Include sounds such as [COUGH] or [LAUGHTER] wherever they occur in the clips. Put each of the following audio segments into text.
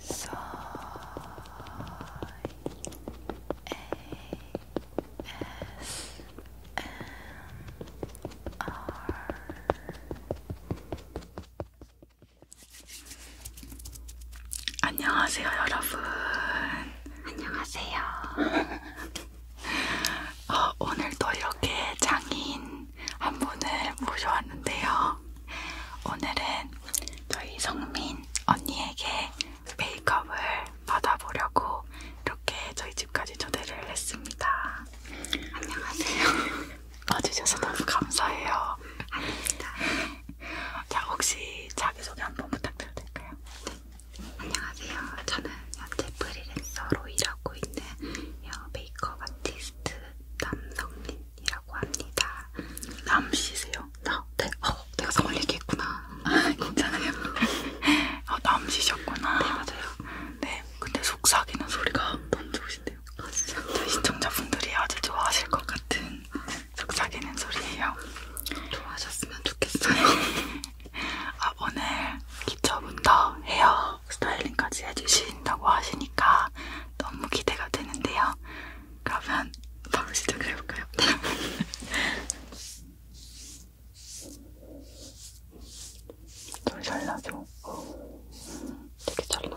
Soy 안녕하세요, 여러분. 안녕하세요. [LAUGHS] 어, 오늘도 이렇게 장인 한 분을 모셔왔는데요. 오늘은 저희 성민 언니에게 메이크업을 받아보려고 이렇게 저희 집까지 초대를 했습니다. 안녕하세요. 와주셔서 너무 감사해요. 아닙니다. 자, 혹시 자기소개 한번 부탁드려도 될까요? 네. 안녕하세요. 저는 현재 프리랜서로 일하고 있는 헤어 메이크업 아티스트 남성민 이라고 합니다. 남씨세요? 나? 네. 어, 내가 성을 얘기했구나. 아, 괜찮아요. 어, 남씨셨구나. 네, 맞아요. 네, 근데 속삭이는 소리가 너무 좋으신데요. 아, 진짜? 저희 네, 시청자분들이 아주 좋아하실 것 같은 속삭이는 소리예요. 좋아하셨으면 좋겠어요. 아, 오늘 기초부터 헤어 스타일링까지 해주신다고 하시니까 너무 기대가 되는데요. 그러면 바로 시작을 해볼까요? [LAUGHS] 잘 나죠? 되게 잘 나.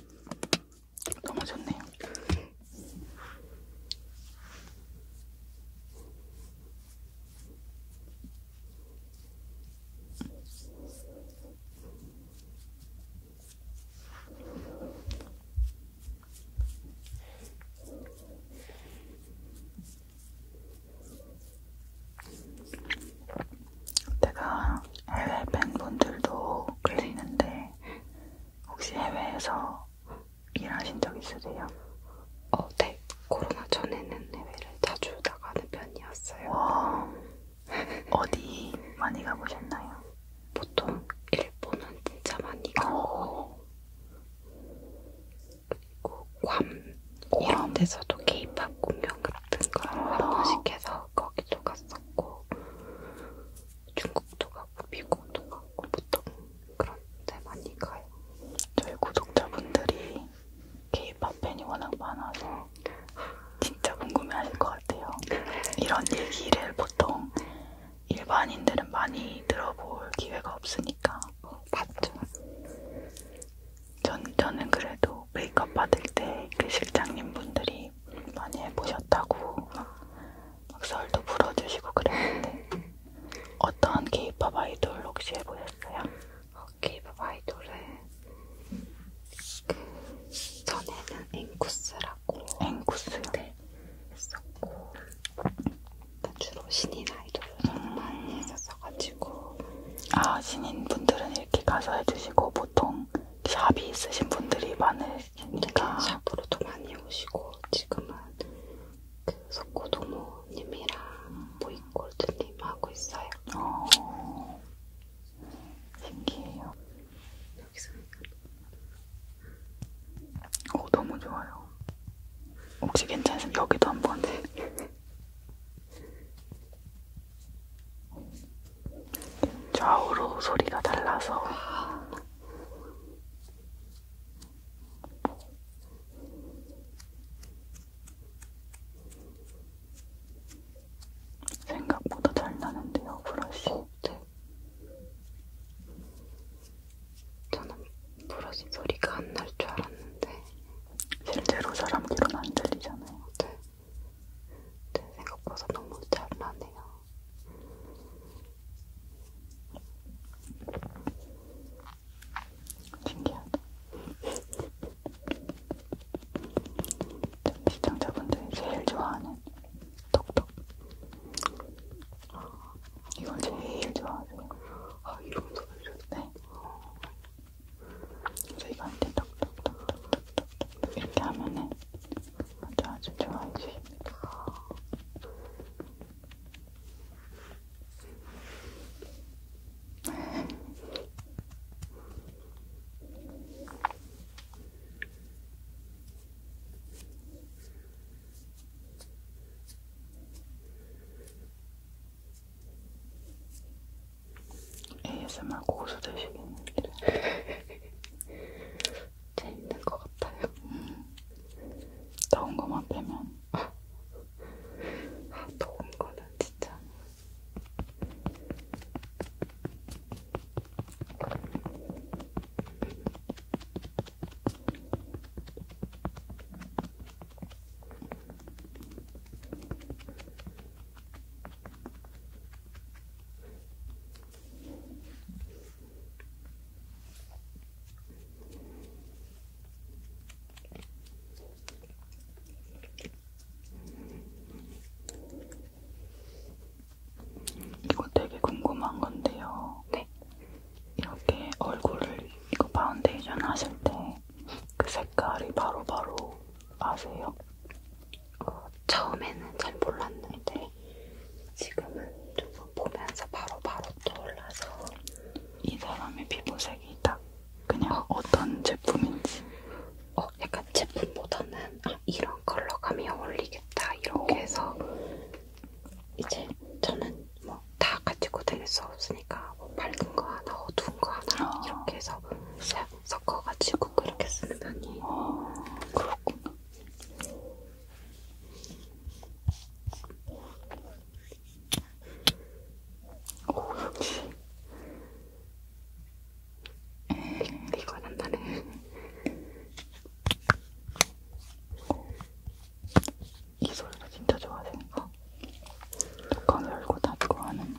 감아졌네요. 제가 해외 팬분들도 계시는데 혹시 해외에서 일하신 적 있으세요? 어, 네. 코로나 전에는 해외를 자주 나가는 편이었어요. 와, 어디 많이 가보셨나요? 보통 일본은 진짜 많이 가고 어. 그리고 괌, 괌. 이런 데서도 케이팝 공연 같은 걸한 아. 번씩 해서 그래서 거기도 갔었고 중국도 가고 미국도 가고 보통 그런 데 많이 가요. 저희 구독자분들이 케이팝 팬이 워낙 많아서 진짜 궁금해하실 것 같아요. 이런 얘기를 보통 일반인들은 많이 들어볼 기회가 없으니까 어, 봤죠. 전, 저는 그래도 메이크업 받을 때 그 실장님 분들이 분들이 많이 해보셨다고 막, 막 썰도 불어주시고 그랬는데 어떤 케이팝 아이돌 혹시 해보셨어요? 어, 케이팝 아이돌은 그 전에는 앵쿠스라고 앵쿠스요? 네 했었고 그러니까 주로 신인 아이돌을 음. 많이 했었어가지고 아 신인 분들은 이렇게 가서 해주시고 보통 샵이 있으신 분들이 많으시니까 샵으로도 많이 오시고 지금은 그 석고도모님이랑 보이골드님 하고 있어요. 어, 신기해요. 여기서 오 어, 너무 좋아요. 혹시 괜찮으면 여기도 한번. 좌우로 소리가 달라서 생각보다 잘 나는데요, 브러쉬. 네. 저는 브러쉬 소리가 안 날 줄 알았는데 실제로 사람 귀로는 안 들리잖아요. 네. 제 생각보다 너무 잘 나네요. 신기하다. 시청자분들이 제일 좋아하는 톡톡. 이걸 제일 좋아하세요. 아, 이름도 알려줘. 네. 그래서 이거 이제 톡톡톡톡톡 이렇게 하면은 아주 아주 좋아해 주십니다. ASMR 고수 되시겠는데 재밌는 것 같아요. 음. 더운 것만 빼면 아, 더운 거는 진짜 이거 되게 궁금한 건데요. 네. 이렇게 얼굴을 이거 파운데이션 하실 때 그 색깔이 바로바로 바로 아세요? 어, 처음에는 잘 몰랐는데 지금은 조금 보면서 바로바로 바로 떠올라서 이 사람의 피부색이 딱 그냥 어. 어떤 제품인지 어 약간 제품보다는 아, 이런 컬러감이 어울리겠다 이렇게 해서 이제 저는 뭐 다 가지고 다닐 수 없으니까 뭐 밝은 거 하나 어두운 거 하나 어. 이렇게 해서 싹 섞어가지고 그렇게 쓰는 편이에요. 아, 그렇구나. 오, 역시. 음, 이, 이건 안 나네. 이 소리가 진짜 좋아하니까 뚜껑 어? 열고 닫고 하는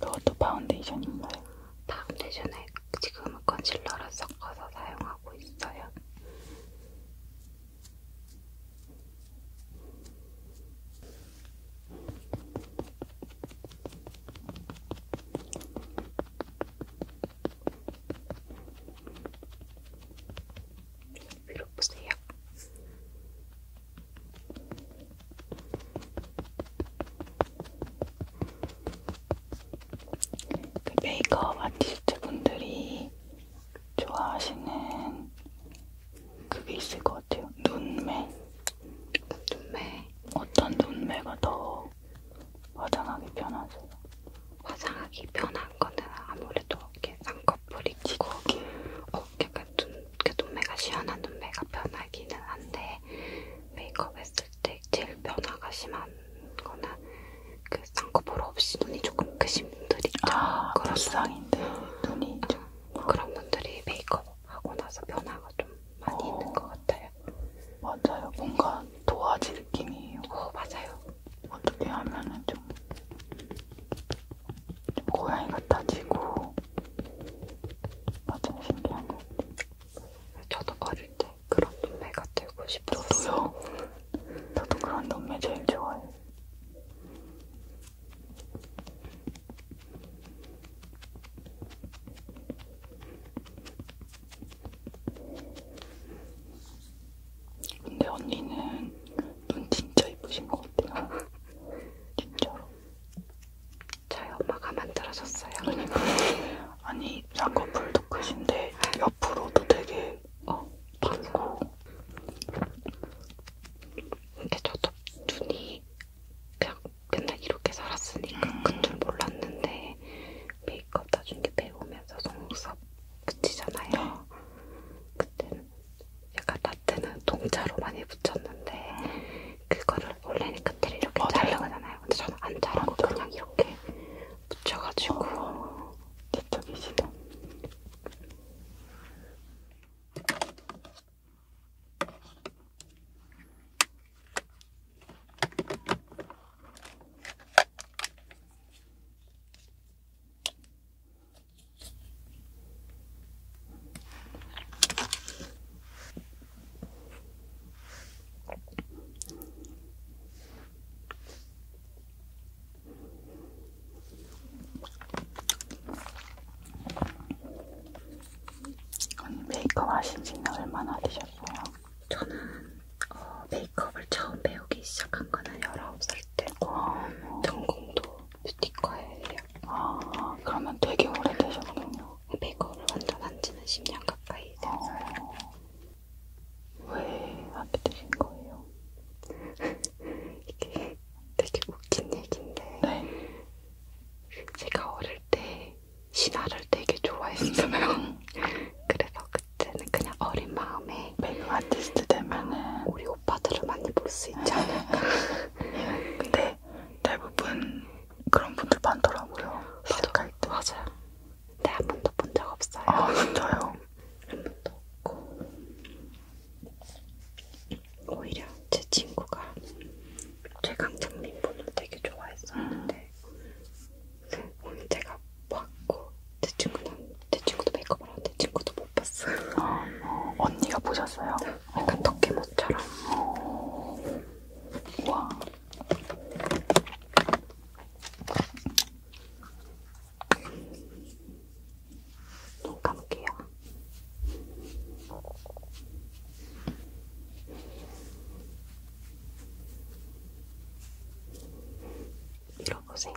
그것도 파운데이션인가요? 파운데이션에 지금은 컨실러를 섞어서 사용하고 있어요. 눌러보세요. 그 메이크업 아티스트 분들이 좋아하시는 그게 있을 것 같아요. 눈매. 눈매. 어떤 눈매가 더 화장하기 편하세요? 화장하기 편한 거는 아무래도 이렇게 쌍 커플이 끼고 어, 약간 눈, 그 눈매가 시원한 눈매가 변하기는 한데 메이크업 했을 때 제일 변화가 심한 거나 그 쌍꺼풀 없이 눈이 조금 크신 분들 있죠? 아, 그런 불쌍인데 눈이 어, 좀... 어, 그런 분들이 메이크업하고 나서 변화가 좀 많이 어, 있는 것 같아요 맞아요 뭔가 도화지 느낌이에요 어, 맞아요 어떻게 하면은 좀 고양이 같아지고 맞아 신기한 것 같아. 저도 어릴 때 그런 눈매 같들고 싶었어요. 저도요. 저도 그런 눈매 제일 좋아해요. 근데 언니는 눈 진짜 이쁘신 것 같아요. 진짜로. 저희 엄마가 만들어줬어요. 그러니까. 아니 쌍꺼풀도 크신데 옆으로도 되게 어 밝고. 근데 저도 눈이 그냥 맨날 이렇게 살았으니까 음. 큰줄 몰랐는데 메이크업 나중에 배우면서 속눈썹 붙이잖아요. 그때는 약간 라떼는 동자로 많이 붙였는데 그거를 원래는 끝을 이렇게 어, 자르는 거잖아요. 근데 저는 안 자르고 맞아. 그냥 이렇게 붙여가지고 어, 아. 내 쪽이시네. 언니 메이크업 하신 지는 얼마나 되셨어요? 저는 어, 메이크업을 처음 배우기 시작한 거는 19살 할 때. 아, 전공도 뷰티과예요. 아, 그러면 되게 오래되셨군요. 백업을 완전 한 지는 10년 가까이 됐어요. 아, 왜 하게 되신 거예요? [LAUGHS] 이게 되게 웃긴 얘기인데. 네. 제가 어릴 때 신화를 되게 좋아했어요. [LAUGHS] 그래서 그때는 그냥 어린 마음에 메이크업 아티스트 되면은 우리 오빠들을 많이 볼 수 있지 않을까. [LAUGHS] 근데 대부분 그런 분들 많더라고요. 시작할 때. 맞아요. 근데 한 번도 본 적 없어요. 아 진짜요? 한 번도 없고 오히려 제 친구가 최강창민 분을 되게 좋아했었는데 음. 그 제가 봤고 제 친구는 제 친구도 메이크업을 하는데 친구도 못 봤어요. 아, 어, 언니가 보셨어요? 약간 덕계모처럼. 어. 와. 눈 감을게요. 밀어보세요.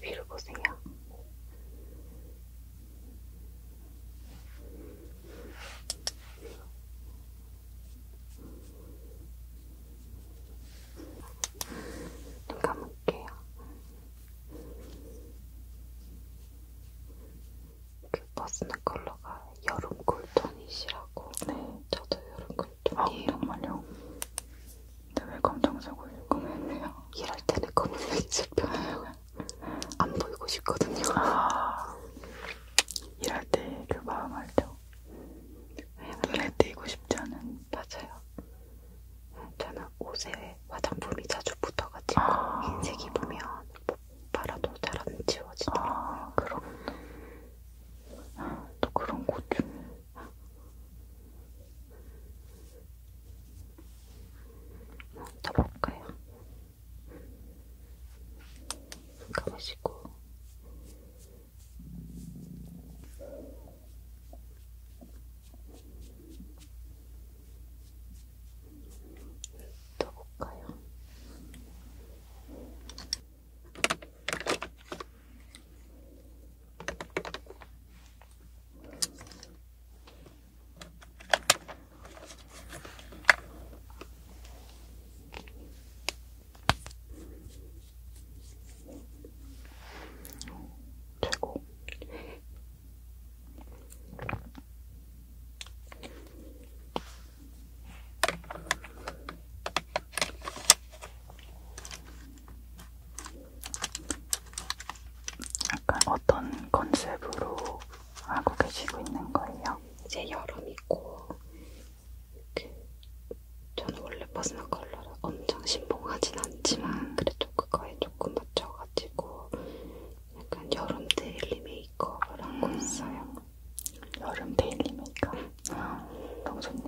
위로 보세요. 눈 감을게요. 그 버스는 컬러가 여름 쿨톤이시라고. 네. 저도 여름 아, 쿨톤이에요. 아, 정말요? 근데 왜 검정색 옷을 구매했네요? 이럴 때는 검은색이 제편해요 안 보이고 싶거든요. 아, 일할 때그 마음 알죠? 눈에 띄고 싶지 않은. 맞아요. 저는 옷에 화장품이 자주 붙어가지고 아, 흰색이 보면 바라도 잘 안 지워지더라고요. 아, 그렇구나. 또 그런 곳 중에. 더 볼까요? 감으시고 더 볼까요? 최고. 약간 어떤 컨셉으로 하고 계시고 있는 거예요? 이제 여름이고 그 저는 원래 퍼스널 컬러를 엄청 신봉하진 않지만 음. 그래도 그거에 조금 맞춰가지고 약간 여름 데일리 메이크업을 하고 음. 있어요. 여름 데일리 메이크업? 음. 너무 좋네.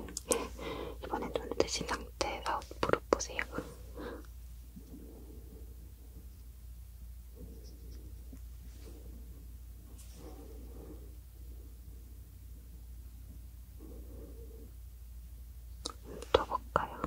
이번에 눈 뜨신 상태 아웃 보러 보세요. 더 볼까요? 눈빛으로.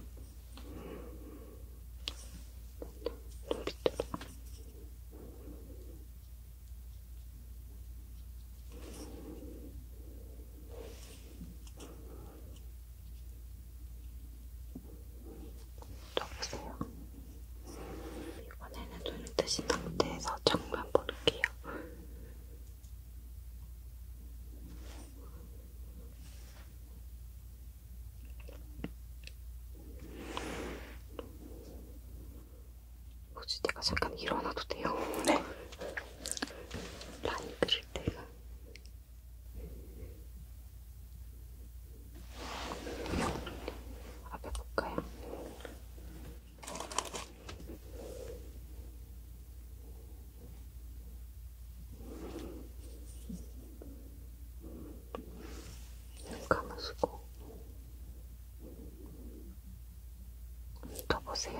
적었어요. 이번에는 눈을 뜨신 상태에서 정면 볼게요. 혹시 내가 잠깐 일어나도 돼요? 네. 라인 그릴 때가 앞에 볼까요? 눈 감으시고 떠보세요.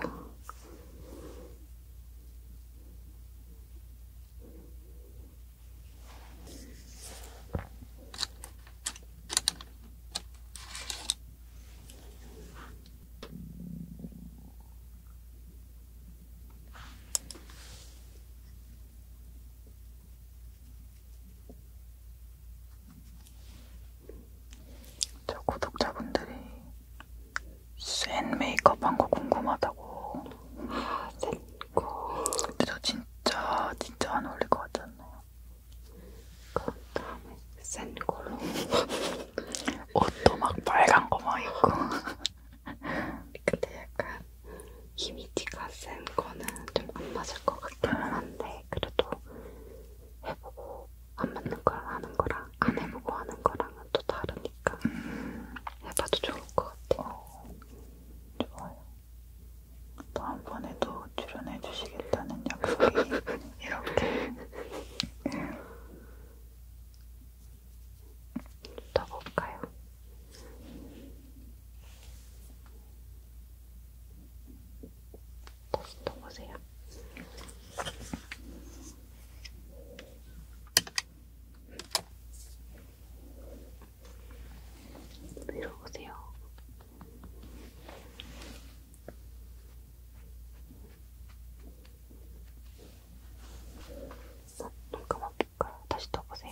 저 구독자분들이 센 메이크업 한거 궁금하다고 아, 센 있고 근데 저 진짜 진짜 안 어울릴 것 같지 않나요? 그 다음에 센 걸로 옷도 막 빨간 거 막 입고 근데 약간 히미티가 센 거는 좀 안 맞을 것 같기는 음. 한데 그래도 해보고 안 맞는 거랑 하는 거랑 안 해보고 하는 거랑은 또 다르니까 음. 해봐도 좋을 것 같아요. 어, 좋아요. 다음번에도 출연해 주시겠다는 약속이 이렇게 떠볼까요? 다시 떠보세요. 이리로 오세요. 어, 눈 감아볼까요? 다시 떠보세요.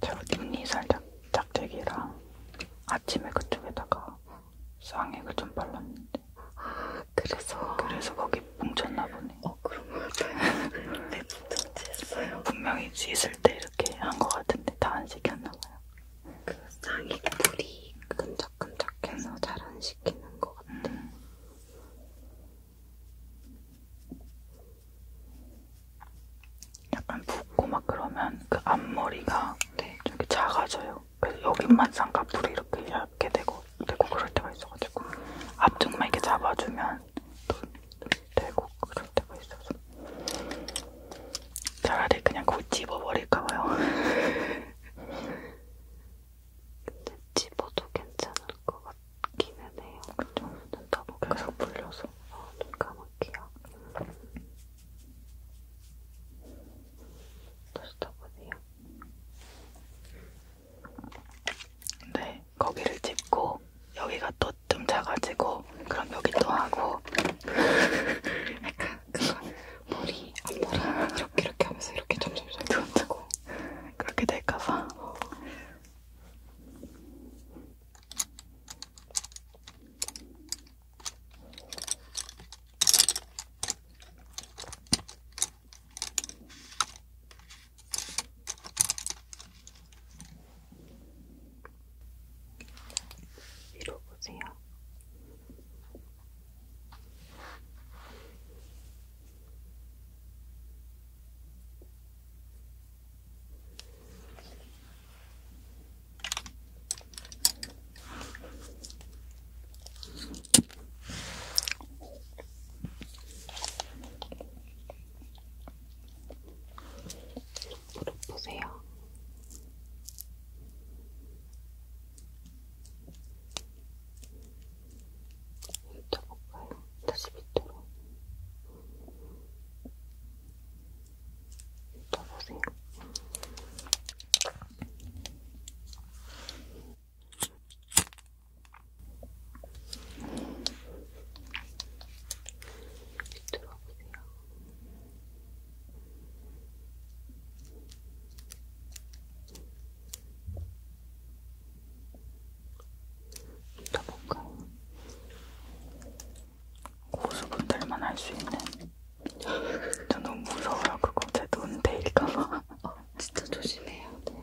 제가 뒷니 살짝 짝대기랑 아침에 그쪽에다가 쌍액을 좀 발랐는데 아 그래서 그래서 거기 뭉쳤나 보네. 어 그런 거같아요 네, [LAUGHS] 분명히 씻을 때 이렇게 한 거 같은데 다 안 시켰나 봐요. 그 쌍액 물이 끈적끈적해서 잘 안 시키는 거 같아. 음. 약간 붓고 막 그러면 그 앞머리가 네. 되게 작아져요. 그래서 여기만 쌍꺼풀이 이렇게 얇게 되고 되고 그럴 때가 있어가지고 앞쪽만 이렇게 잡아주면 또 되고 그럴 때가 있어서 차라리 그냥 곧 집어버릴까봐요. [LAUGHS] 근데 집어도 괜찮을 것 같기는 해요. 그쵸? 눈 떠볼까요? 계속 불려서. 어, 눈 감을게요. 다시 떠보세요. 네, 거기를 짚고 여기가 또좀 작아지고 그럼 여기 또 하고 [LAUGHS] 약간 그거 머리 앞머리 이렇게 이렇게 하면서 이렇게 점점 점점 뜨고 그렇게 될까봐. 어. 이러보세요. 무릎 보세요. 훑어볼까요? 다시 밑으로 훑어보세요. 밑으로 보세요. 또 뭔가 고수분들만 할 수 있는 저 너무 무서워요 그거 제돈 데일까봐 어, 진짜 조심해야 돼요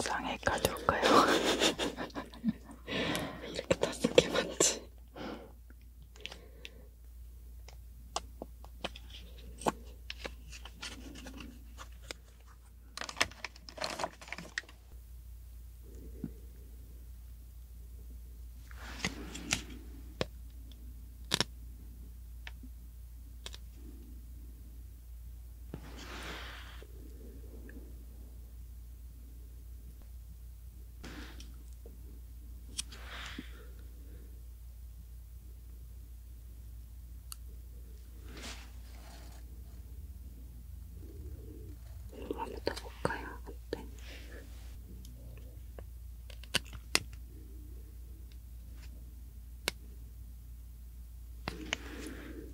상해 가져올까요? [LAUGHS] 이렇게 다섯 개 맞지? 한번 더 볼까요? 어때? 네. 음.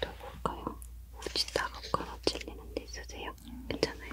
더 볼까요? 혹시 따갑거나 찔리는 데 있으세요? 괜찮아요?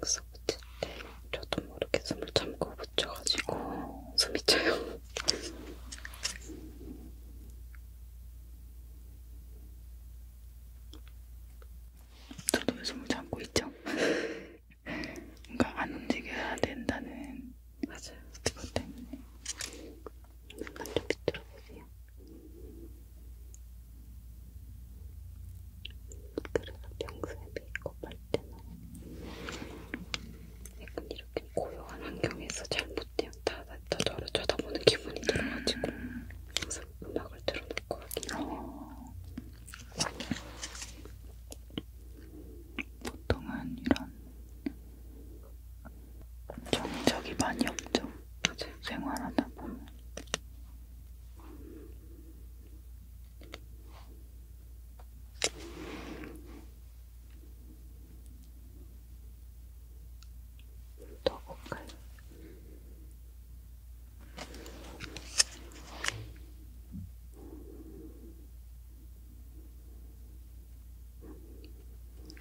봉사 붙일 때 저도 모르게 숨을 참고 붙여가지고 숨이 차요. [LAUGHS] 저도 요즘 참고 있죠. 뭔가 안 움직여야 된다는 맞아요. 그것 때문에 약간 좀 비틀어 보세요. 그래서 평소에 메이크업 할 때는 약간 이렇게 고요한 환경에서 잘못되면 다, 다 저를 쳐다보는 기분이 들어가지고 항상 음악을 틀어놓고 하긴 해요. 보통은 이런 정적이 많이 없죠. 맞아요. 생활하다 보면 더 볼까요? 좀더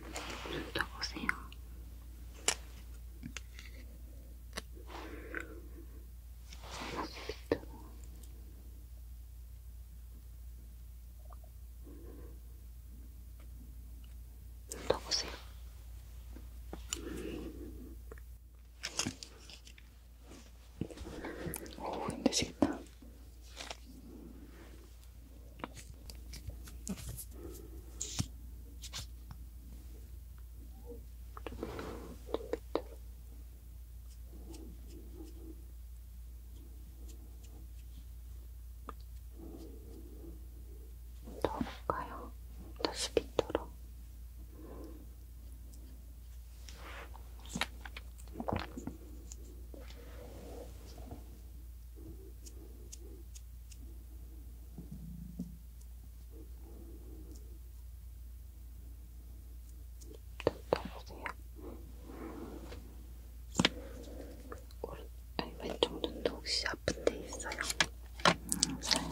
네, 보세요. 보세요. 오, 힘드시겠다. 좀 밑으로. 더울까요? 다시 끼도록. 떠보세요. 오른, 아니, 왼쪽 눈도 혹시 아픈 데 있어요? 있어요.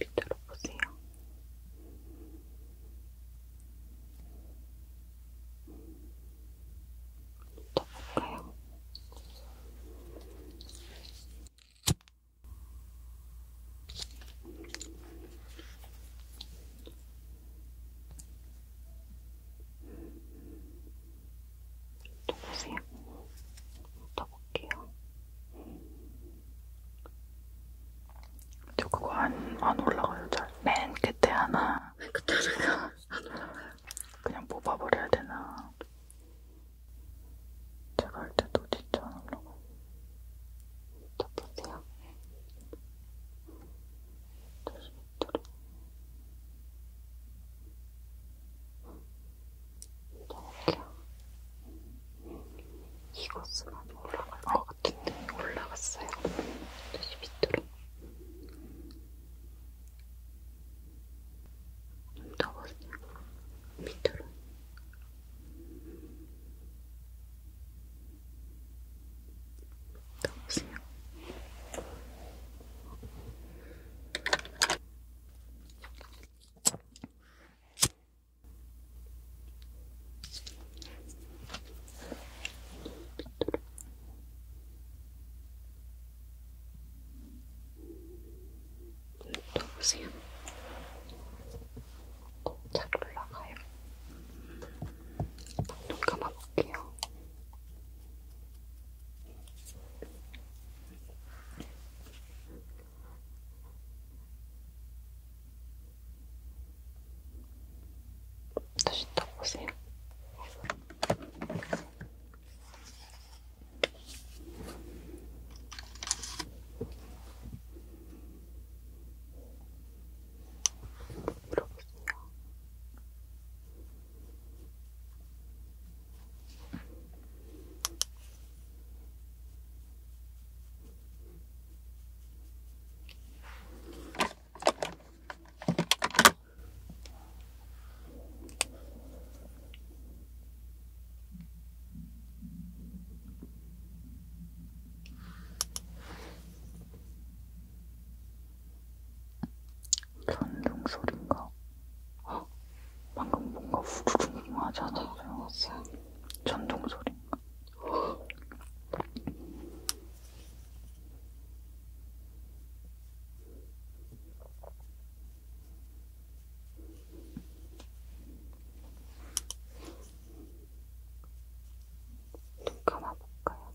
밑으로 보세요. 더 볼까요? 또 보세요. 더 볼게요. 근데 그거 안, 안 올라가요 잘. 맨 끝에 하나. 그때 하나가 안 올라가요. 그냥 뽑아버려야 되나. 제가 할 때도 진짜 안 올라가요. 또 보세요. 다시 음. 밑으로. 음. 이렇게. 이것은 올라갈 것 어. 같은데 올라갔어요. 다시 밑으로. 좀더 보세요. 밑으로. 더 보세요. 또 보세요. 잘 올라가요. 눈 감아볼게요. 다시 딱 보세요. 물어보세요. 전등 소리인가? 헉, [GASPS] 방금 뭔가 후루룩 하지 않았어요? 전동 소리인가? 눈 감아볼까요?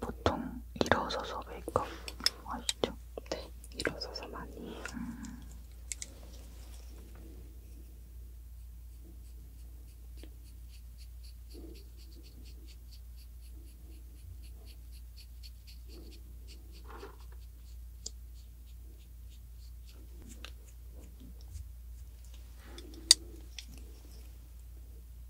보통 일어서서 메이크업 아시죠? 네, 일어서서 많이 해요. 음.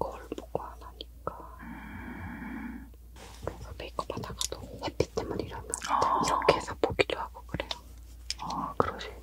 이걸 보고 안 하니까 그래서 메이크업 하다가도 햇빛 때문에 이러면 아 이렇게 해서 보기도 하고 그래요. 아 그러시겠다.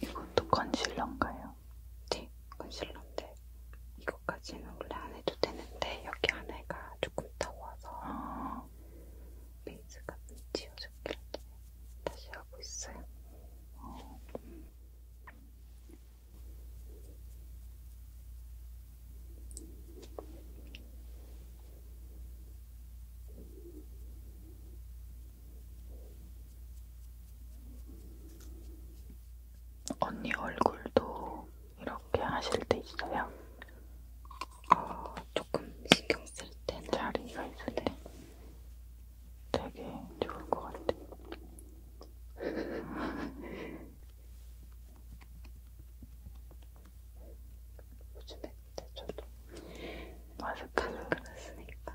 이것도 컨실러인가요? 네, 컨실러인데 이것까지는 원래 안 해도 되는데 여기 안에가 조금 더워서 아. 베이스가 지워졌길래 다시 하고 있어요. 어. 언니 얼굴도 이렇게 하실 때 있어요? 어, 조금 신경 쓸 때는 자리가 있을 때 되게 좋을 것 같아. 요즘에 근데 저도 마스크는 그랬으니까.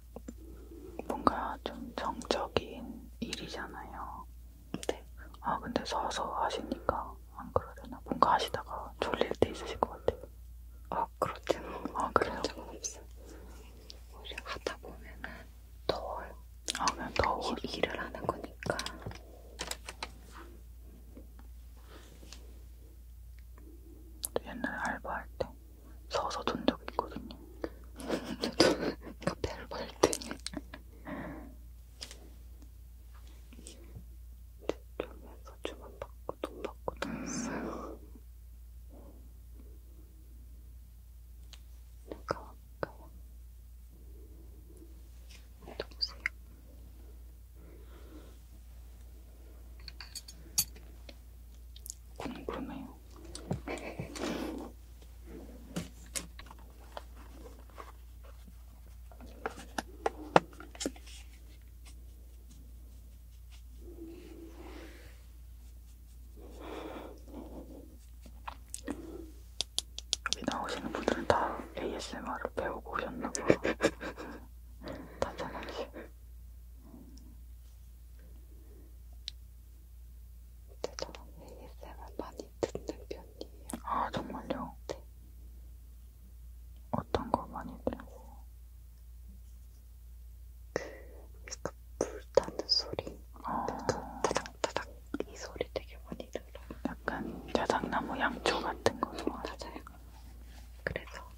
뭔가 좀 정적인 일이잖아요. 네. 아 근데 서서 하시니까 안 그러려나? 뭔가 하시다가 졸릴 때 있으실 것 같아요. 아 그렇진 아 그래요? 적은 없어. 오히려 하다 보면은 더워요. 아 그냥 더워. 일을 하는 거니까. 옛날에 알바할 때 서서 돈적 있거든요. 저도 카페를 벌 때. 주점에서 주문 받고 돈 받고 다녔어요. 누가 왔까요? 여보세요? 궁금해요. 여기 나오시는 분들은 다 ASMR을 배우고 오셨나 봐요. [LAUGHS] 다 편하게. 근데 저는 ASMR 많이 듣는 편이에요. 아, 정말요? 네. 어떤 거 많이 들으세요? 그, 그러니까 불 타는 소리. 아. 그, 타닥타닥 이 소리 되게 많이 들어요. 약간 자작나무 양초 같은 거 좋아하세요? 맞아요. 그래서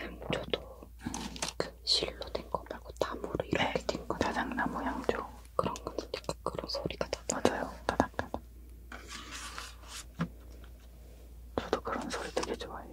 양초도 음. 그 실로 된 거 말고 나무로 이렇게 네, 된거 자작나무 향조 그런 거는 약간 그런 소리가 나잖아요 맞아요 따닥따닥 저도 그런 소리 되게 좋아해요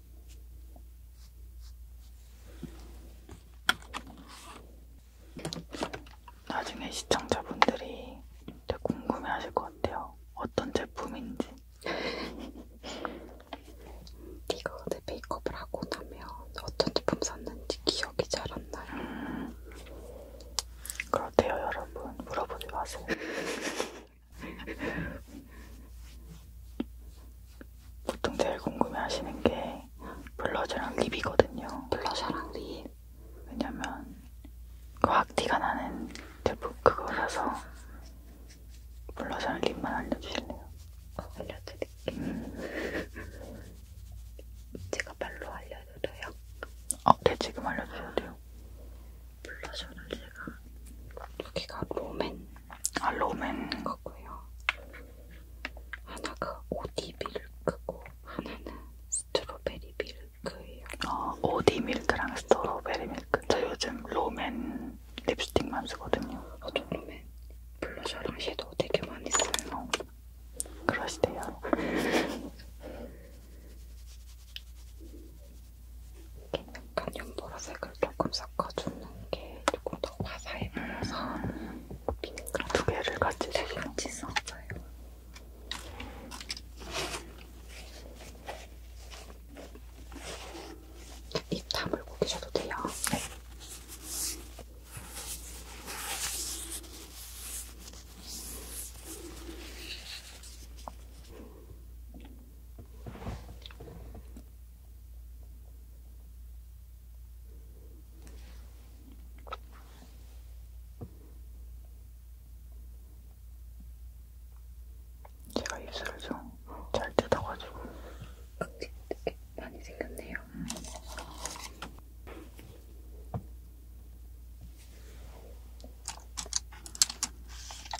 나중에 시청자분들이 되게 궁금해하실 것 같아요. 어떤 제품인지. [LAUGHS] 이거 내 메이크업을 하고 나면 어떤 제품 썼는지 기억이 잘 안 나요. 음, 그렇대요, 여러분. 물어보지 마세요. [LAUGHS] 보통 제일 궁금해하시는 게 블러셔랑 립이거든요. 블러셔랑 립. 왜냐면 그확 티가 나는 제품 그거라서 블러셔랑 립만 알려주실래요? 어, 알려드릴게요. 음. 제가 말로 알려드려요? 어, 네 지금 알려주셔도 돼요. 블러셔를 제가 여기가 로맨 아 로맨 거고요. 하나가 오디 밀크고 하나는 스트로베리 밀크예요. 어 오디 밀크랑 스트로베리 밀크. 저 요즘 로맨 립스틱만 쓰거든요. 어, 저도 로맨 블러셔랑 섀도우 되게 많이 써요. 그러시대요. [LAUGHS] 이렇게 약간 연보라색을 조금 섞어주는 게 조금 더 화사해 보여서 핑크랑 두 개를 같이 같이 섞어요. 입 다물고 계셔도 돼요. 네. 제가 입술을 좀 잘 뜯어가지고 [LAUGHS] 많이 생겼네요. 음.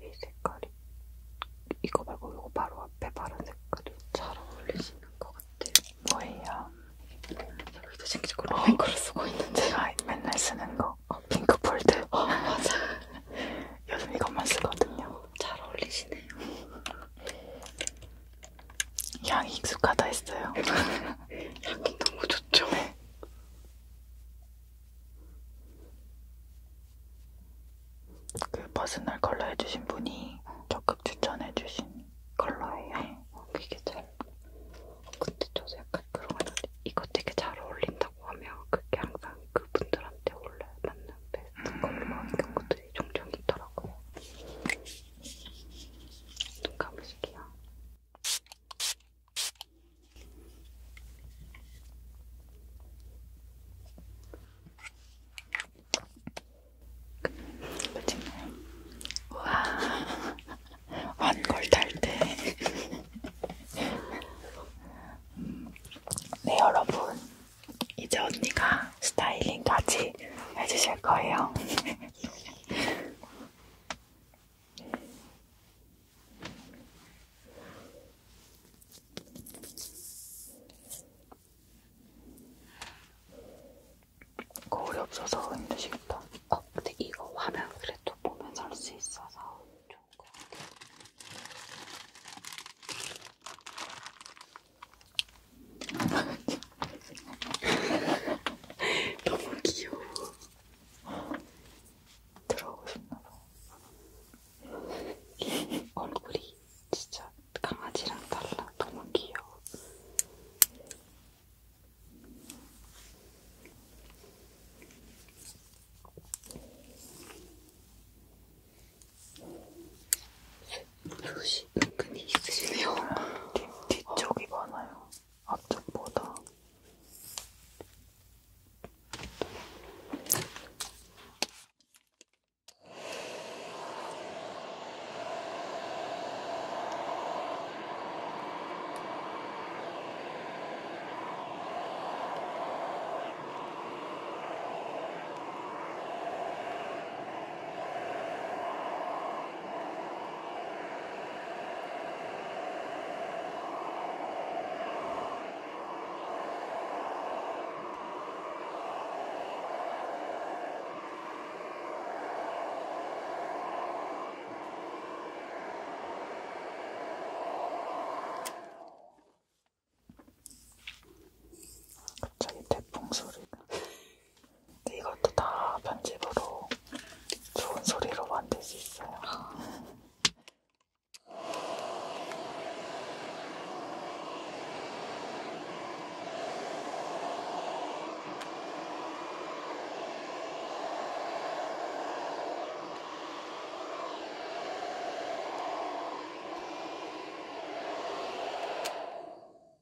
이 색깔이 이거 말고 이거 바로 앞에 파란 색깔이 잘 어울리시는 것 같아요. 뭐예요? 제가 이제 생기적으로 어, 핑크를 쓰고 있는데 제가 아, 맨날 쓰는 거 어, 핑크 폴드. 어, 맞아. [LAUGHS] 요즘 이것만 쓰거든요. 잘 어울리시네요. 향이 익숙하다 했어요. [LAUGHS] 향이 너무 좋죠. 네. 그 퍼스널 컬러 해주신 분이 적극 추천해주신 컬러예요. 네. 그게 잘. 근데 저도 약간 그런 거 이거 되게 잘 어울린다고 하면 그게 항상 그분들한테 원래 맞는 베스트 음. 컬러 이런 것들이 종종 있더라고요. 눈 감으실게요. 끝났나요? 우와, 완골 탈때. 네, 여러분. 이제 언니가 스타일링까지 해주실 거예요. 거울이 없어서 힘드시겠다. 어, 근데 이거 화면 그래도 보면서 할수 있어서 좋은 것 같아요. [LAUGHS] 너무 귀여워. 들어오고 싶나봐. [LAUGHS] 얼굴이 진짜 강아지랑 달라. 너무 귀여워. 숱이 은근히 있으시네요. 뒤, 뒤쪽이 어. 많아요. 앞쪽보다. 갑자기 태풍 소리가 이것도 다 편집으로 좋은 소리로 만들 수 있어요.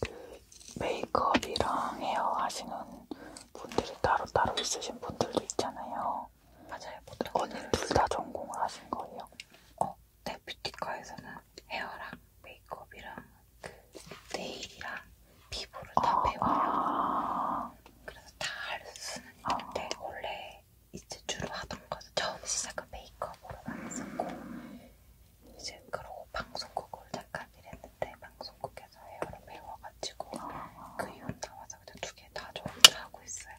그 메이크업이랑 헤어 하시는 분들이 따로 따로 있으신 분들도 있잖아요. 맞아요. 언니 둘다 전공을 하신 거예요? 어, 네 뷰티과에서는 헤어랑 메이크업이랑 그 네일이랑 피부를 다 아, 배워요. 아. 그래서 다 할 수는 아. 있는데 아. 원래 이제 주로 하던 거는 처음 시작은 메이크업으로만 했었고 이제 그러고 방송국을 잠깐 일했는데 방송국에서 헤어를 배워가지고 그 이후 나와서 그냥 두개 다 좋게 하고 있어요.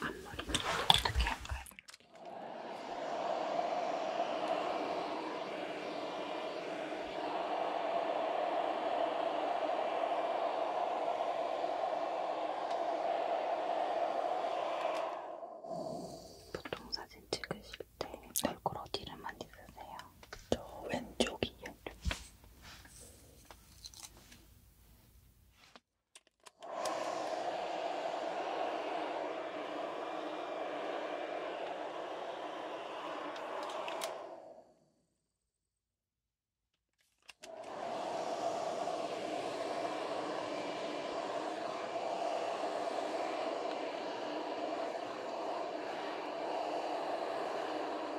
앞머리는 어떻게 할까요? 보통 사진 찍으실 때 얼굴 어디를 많이 쓰세요? 저 왼쪽이요.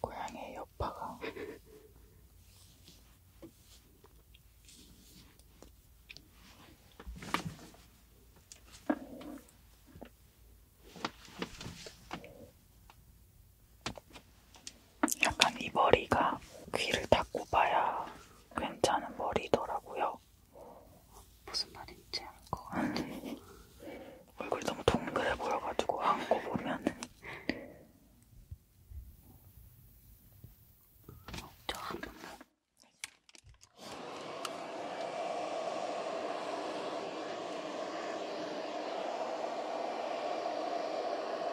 고양이의 여파가 약간 이 머리가 귀를 닦고 봐야 괜찮은 머리더라고요. 무슨 말인지 알것 같아. 얼굴 너무 동그래 보여가지고 안고 보면은 저한 번만.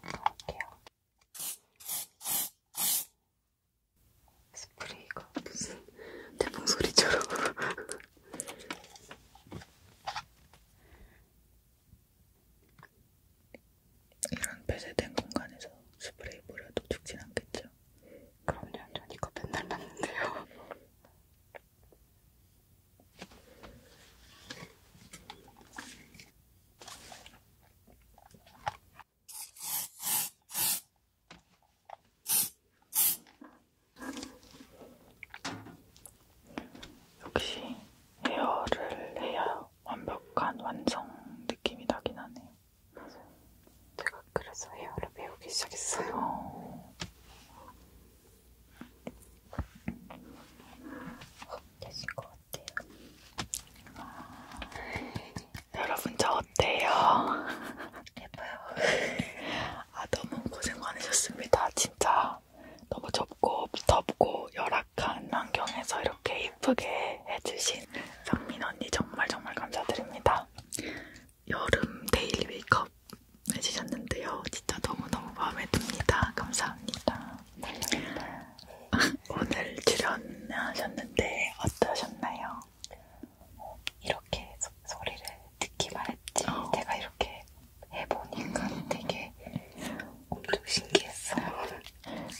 넣을게요. 스프레이가 무슨 태풍 소리처럼. 이런 폐쇄된 공간에서 스프레이 뿌려도 죽진 않겠죠? 그럼요, 전 이거 맨날 맞는데요. 역시 헤어를 해야 완벽한 완성 느낌이 나긴 하네요. 맞아요. 제가 그래서 헤어를 배우기 시작했어요. 어... 되신 것 같아요. 여러분 저 어때요? 예뻐요. [LAUGHS] 아 너무 고생 많으셨습니다. 진짜 너무 좁고 덥고 열악한 환경에서 이렇게 예쁘게 해주신 성민 언니 정말 정말 감사드립니다. 여름 데일리 메이크업 해주셨는데요. 진짜 너무 너무 마음에 듭니다. 감사합니다. 아, 오늘 출연하셨는데 어떠셨나요? 어, 이렇게 소, 소리를 듣기만 했지 어. 제가 이렇게 해보니까 되게 엄청 신기했어요.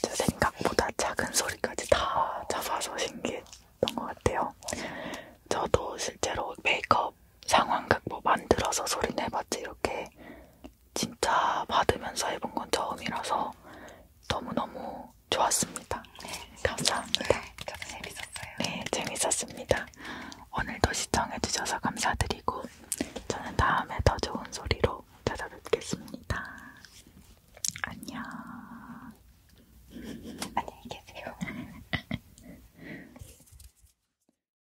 제 생각보다 작은 소리까지 다 잡아서 신기했던 것 같아요. 저도 실제로 메이크업 상황극 뭐 만들어서 소리 내봤지 이렇게 진짜 받으면서 해본 건 처음이라서 너무너무 좋았습니다. 네, 감사합니다. 네, 저도 재밌었어요. 네, 재밌었습니다. 오늘도 시청해주셔서 감사드리고 저는 다음에 더 좋은 소리로 찾아뵙겠습니다. 안녕. 안녕히 계세요. [LAUGHS]